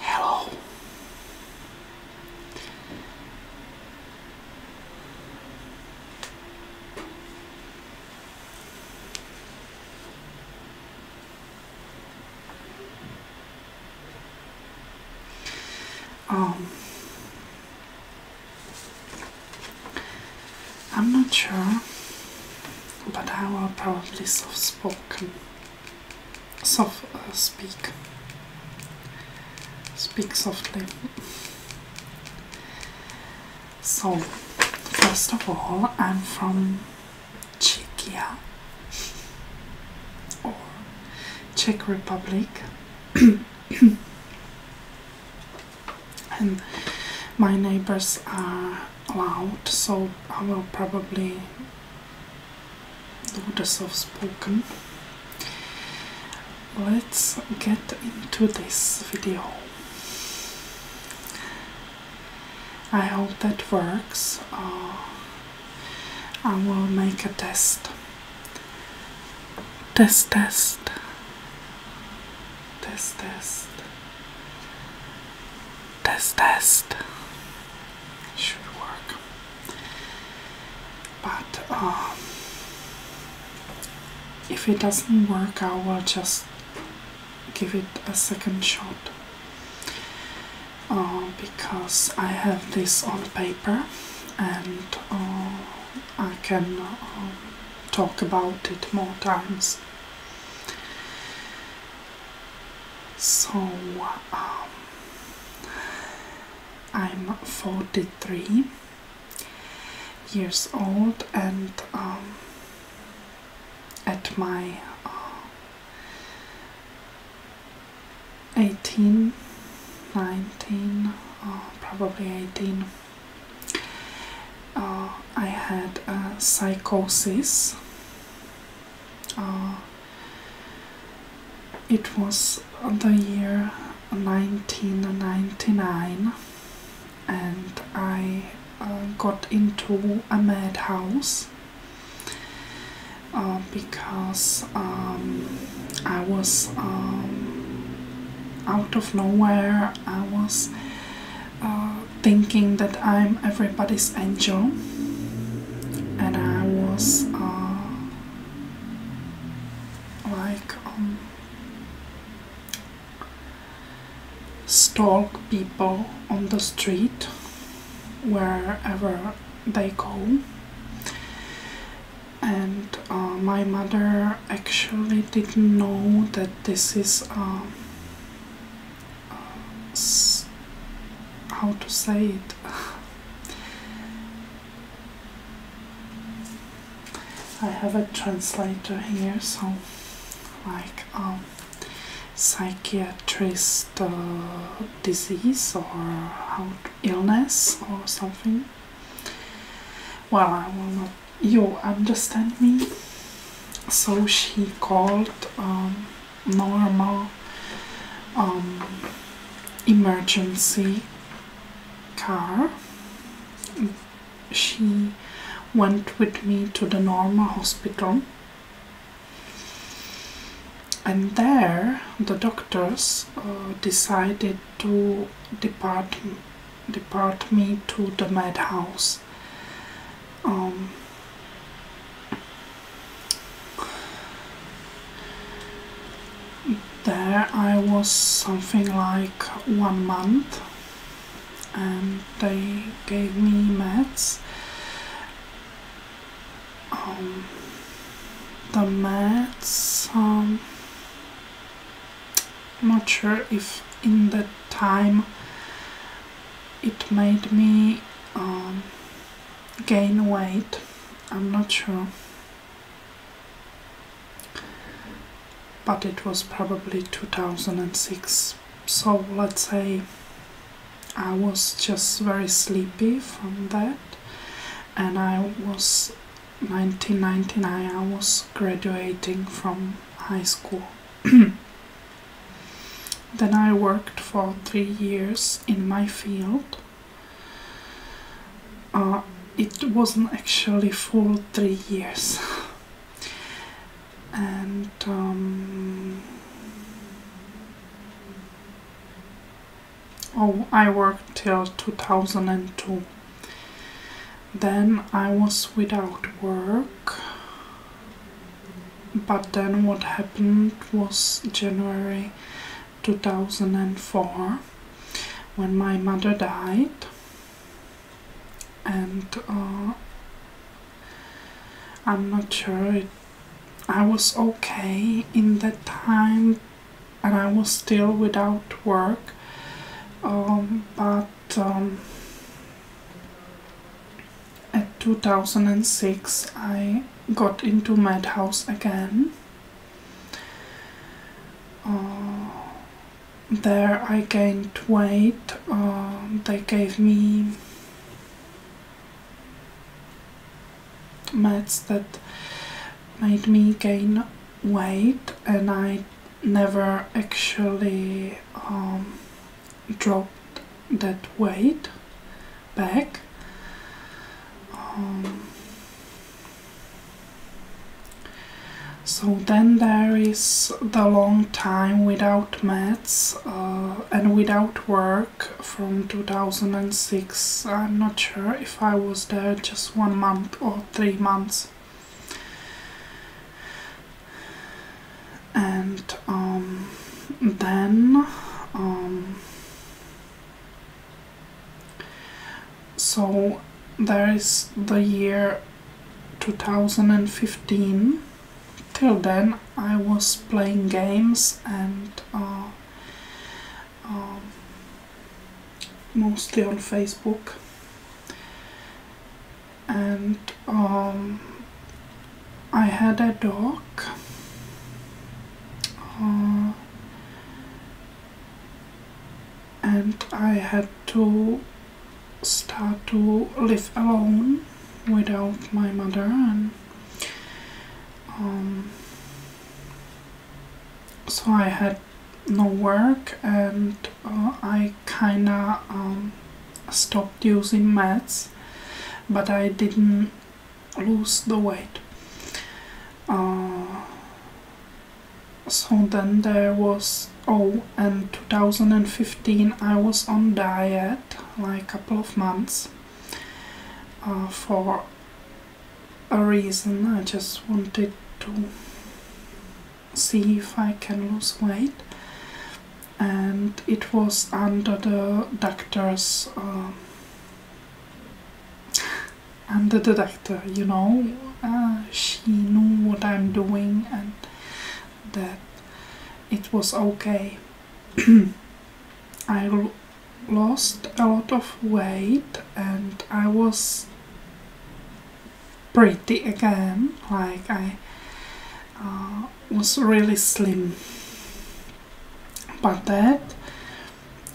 Hello. Um, I'm not sure, but I will probably soft spoken, soft uh, speak, speak softly. So, first of all, I'm from Czechia or Czech Republic. and my neighbors are loud, so I will probably do the soft spoken. Let's get into this video. I hope that works. Uh, I will make a test. Test, test. This test. This test. Should work. But um, if it doesn't work, I will just give it a second shot. Uh, because I have this on paper and uh, I can um, talk about it more times. So um, I'm 43 years old and um, at my uh, 18, 19, uh, probably 18 uh, I had psychosis. Uh, it was the year 1999 and I uh, got into a madhouse because um, I was um, out of nowhere, I was uh, thinking that I'm everybody's angel, and I was uh, like um, stalk people on the street wherever they go. And uh, my mother actually didn't know that this is um, uh, how to say it I have a translator here so like um, psychiatrist uh, disease or how illness or something well I will not you understand me so she called um, normal um, emergency car she went with me to the normal hospital and there the doctors uh, decided to depart they brought me to the madhouse. Um, there I was something like one month and they gave me meds. Um, the meds um, I'm not sure if in that time it made me um, gain weight. I'm not sure. But it was probably 2006. So let's say I was just very sleepy from that and I was 1999 I was graduating from high school. then I worked for three years in my field. Uh, it wasn't actually full three years. and um, oh, I worked till 2002. Then I was without work. But then what happened was January 2004 when my mother died. And uh, I'm not sure I was okay in that time and I was still without work um, but in um, 2006 I got into Madhouse again. Uh, there I gained weight, um, they gave me meds that made me gain weight and I never actually um, dropped that weight back. Um, so then there is the long time without maths uh, and without work from 2006. I'm not sure if I was there just one month or three months and um, then um, so there is the year 2015 till then I was playing games and uh, um, mostly on Facebook and um, I had a dog uh, and I had to start to live alone without my mother and um, so I had no work and uh, I kinda um, stopped using meds, but I didn't lose the weight. Uh, so then there was oh and 2015 I was on diet like a couple of months uh, for a reason. I just wanted to see if I can lose weight, and it was under the doctor's. Uh, under the doctor, you know, uh, she knew what I'm doing and that it was okay. I lost a lot of weight and I was pretty again like I uh, was really slim but that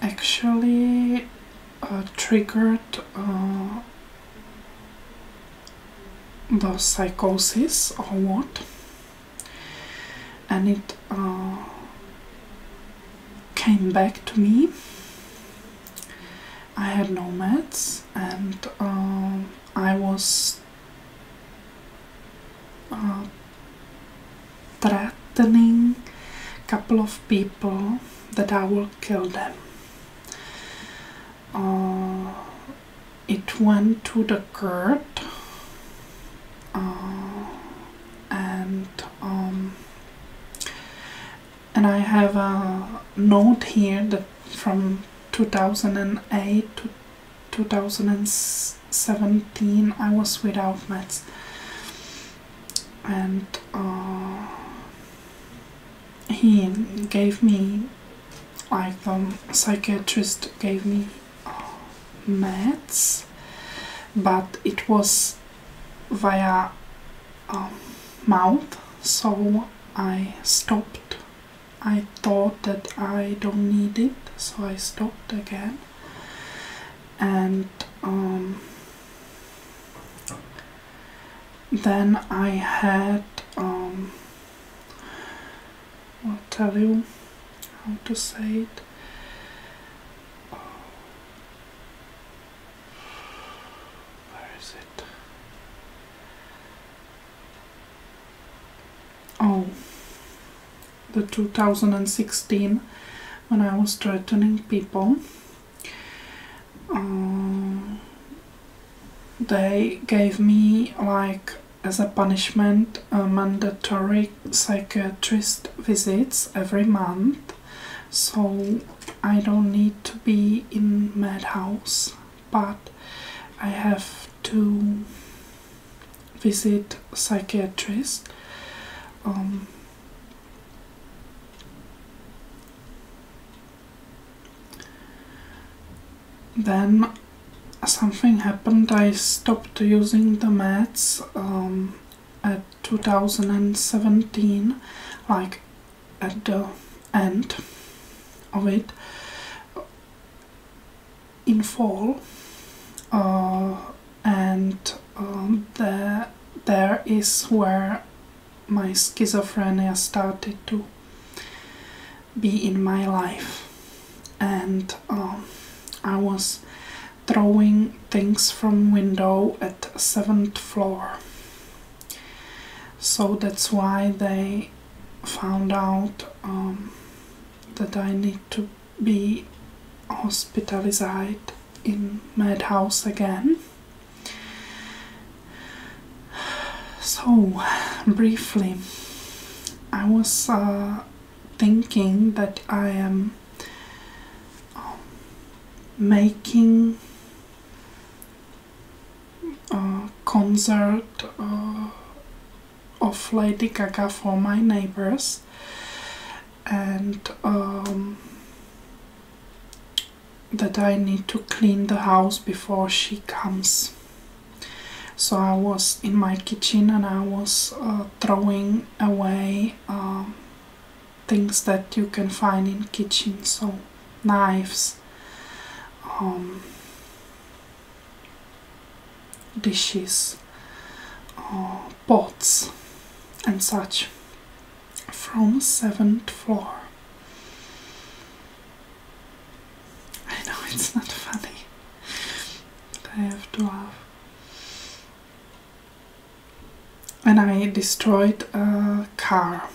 actually uh, triggered uh, the psychosis or what and it came back to me. I had no meds and uh, I was uh, threatening a couple of people that I will kill them. Uh, it went to the court and um, and I have a note here that from 2008 to 2017 I was without meds and uh, he gave me like the psychiatrist gave me uh, meds but it was via um, mouth, so I stopped. I thought that I don't need it, so I stopped again. And um, then I had, um, I'll tell you how to say it. Where is it? Oh, the 2016 when I was threatening people. Uh, they gave me like as a punishment mandatory psychiatrist visits every month so I don't need to be in madhouse, but I have to visit psychiatrist. Um, then something happened. I stopped using the meds um, 2017 like at the end of it in fall uh, and um, the, there is where my schizophrenia started to be in my life and um, I was throwing things from window at seventh floor so that's why they found out um, that i need to be hospitalized in madhouse again so briefly i was uh, thinking that i am um, making a concert uh, of Lady Gaga for my neighbors and um, that I need to clean the house before she comes. So I was in my kitchen and I was uh, throwing away um, things that you can find in kitchen so knives um, dishes uh, pots and such from seventh floor I know it's not funny but I have to laugh and I destroyed a car.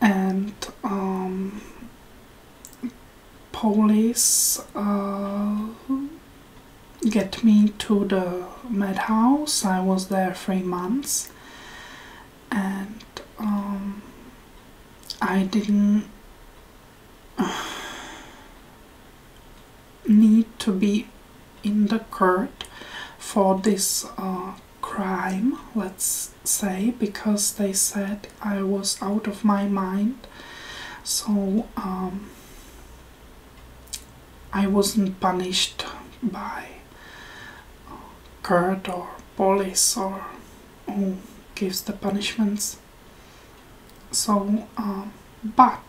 And um, police uh, get me to the madhouse. I was there three months, and um, I didn't. need to be in the court for this uh, crime, let's say, because they said I was out of my mind. So um, I wasn't punished by uh, court or police or who gives the punishments so uh, but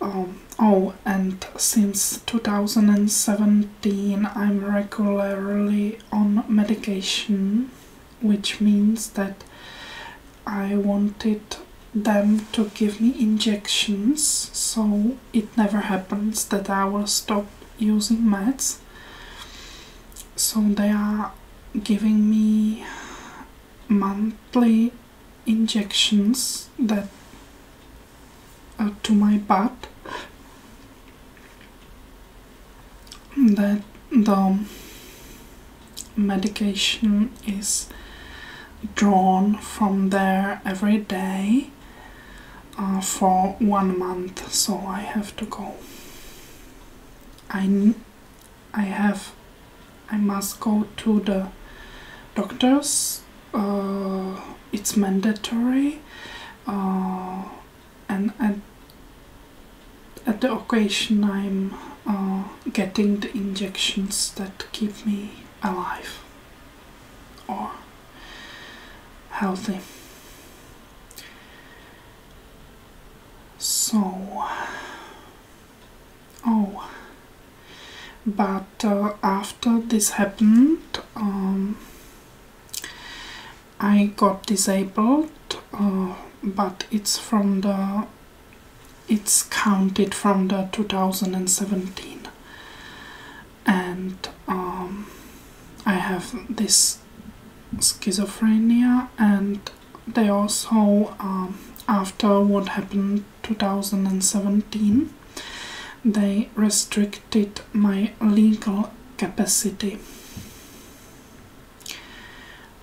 um, oh and since 2017 i'm regularly on medication which means that i wanted them to give me injections so it never happens that i will stop using meds so they are giving me monthly injections that are to my butt that the medication is drawn from there every day uh, for one month so I have to go I I have I must go to the doctors. Uh, it's mandatory, uh, and at, the occasion I'm uh, getting the injections that keep me alive or healthy. So Oh, but uh, after this happened, um, I got disabled, uh, but it's from the it's counted from the 2017 and um, I have this schizophrenia and they also um, after what happened 2017 they restricted my legal capacity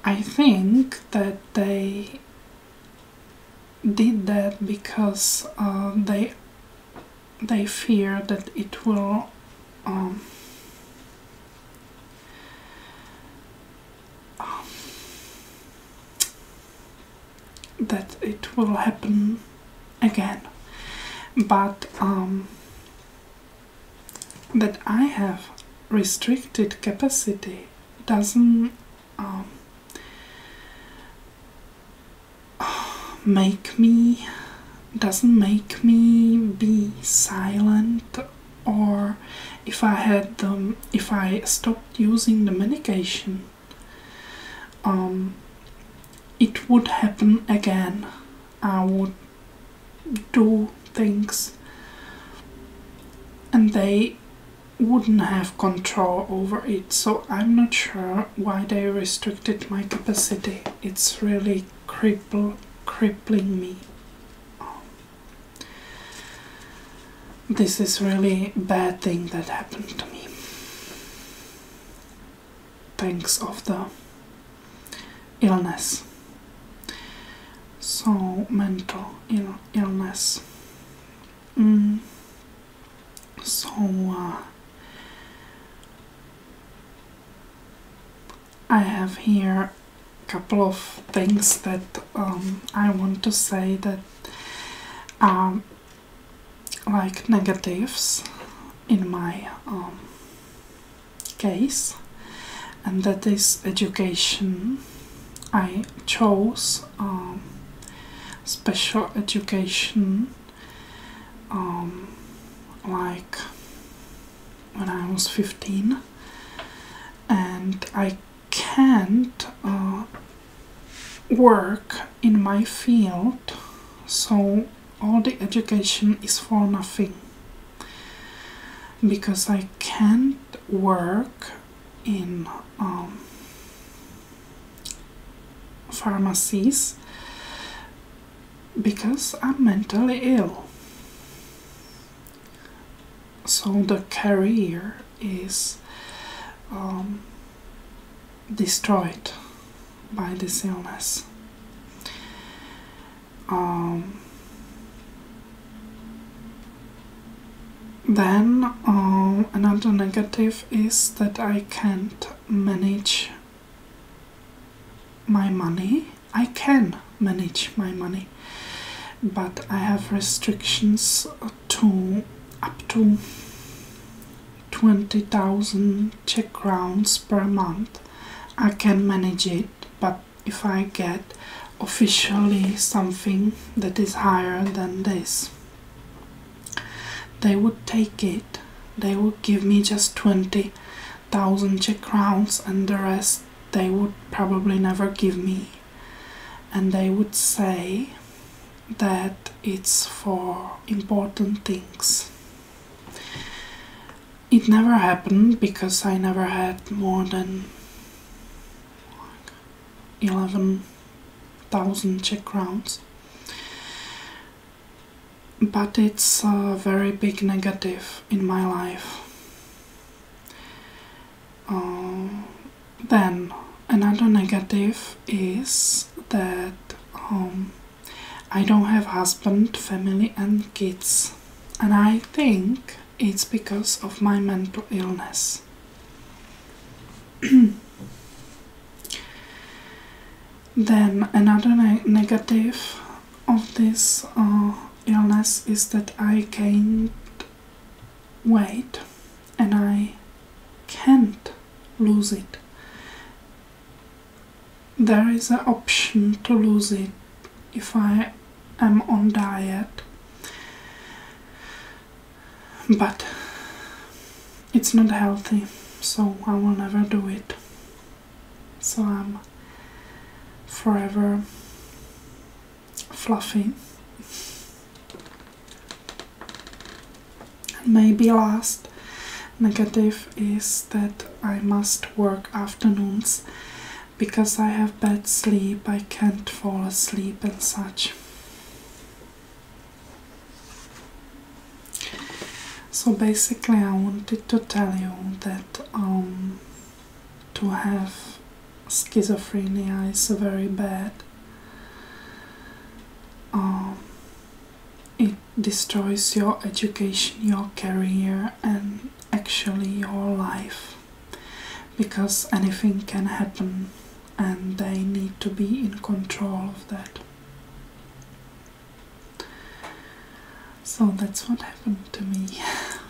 i think that they did that because uh, they they fear that it will um, um, that it will happen again, but um, that I have restricted capacity doesn't um, make me doesn't make me be silent or if I had them, if I stopped using the medication, um, it would happen again. I would do things and they wouldn't have control over it so I'm not sure why they restricted my capacity it's really crippling me this is really bad thing that happened to me. Thanks of the illness. So mental illness. Mm. So uh, I have here a couple of things that um, I want to say that um, like negatives in my um, case and that is education. I chose um, special education like when I was 15, and I can't uh, work in my field, so all the education is for nothing because I can't work in um, pharmacies because I'm mentally ill so the career is um, destroyed by this illness. Um, then um, another negative is that I can't manage my money I can manage my money, but I have restrictions to up to 20,000 Czech crowns per month. I can manage it, but if I get officially something that is higher than this, they would take it. They would give me just 20 thousand Czech crowns, and the rest they would probably never give me. And they would say that it's for important things. It never happened because I never had more than 11,000 Czech crowns. But it's a very big negative in my life. Um, then another negative is that um, I don't have husband, family, and kids, and I think it's because of my mental illness. then another negative of this uh, illness is that I can't wait, and I can't lose it. There is an option to lose it if I am on diet, but it's not healthy, so I will never do it so I'm forever fluffy. And maybe last negative is that I must work afternoons because I have bad sleep, I can't fall asleep and such. So basically I wanted to tell you that um, to have schizophrenia is very bad. Um, it destroys your education, your career, and actually your life because anything can happen and they need to be in control of that. So that's what happened to me.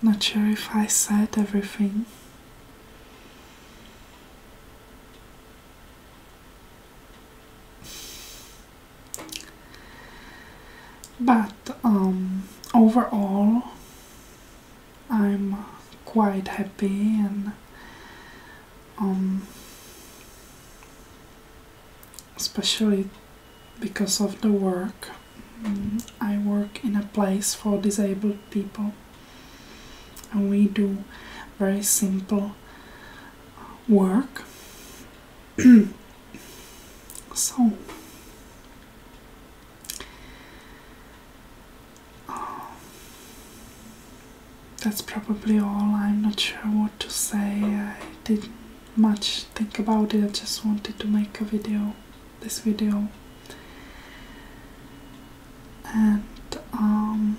Not sure if I said everything. But um, overall, I'm quite happy and um, especially because of the work. Mm, I work in a place for disabled people, and we do very simple work. so, uh, that's probably all. I'm not sure what to say much think about it. I just wanted to make a video, this video, and um,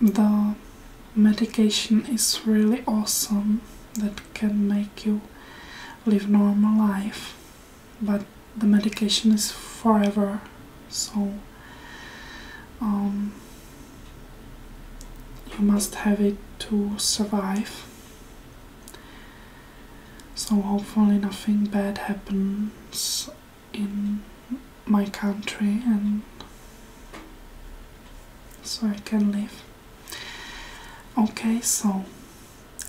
the medication is really awesome that can make you live normal life, but the medication is forever, so. Um, you must have it to survive. So, hopefully, nothing bad happens in my country, and so I can live. Okay, so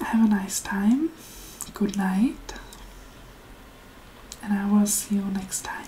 have a nice time, good night, and I will see you next time.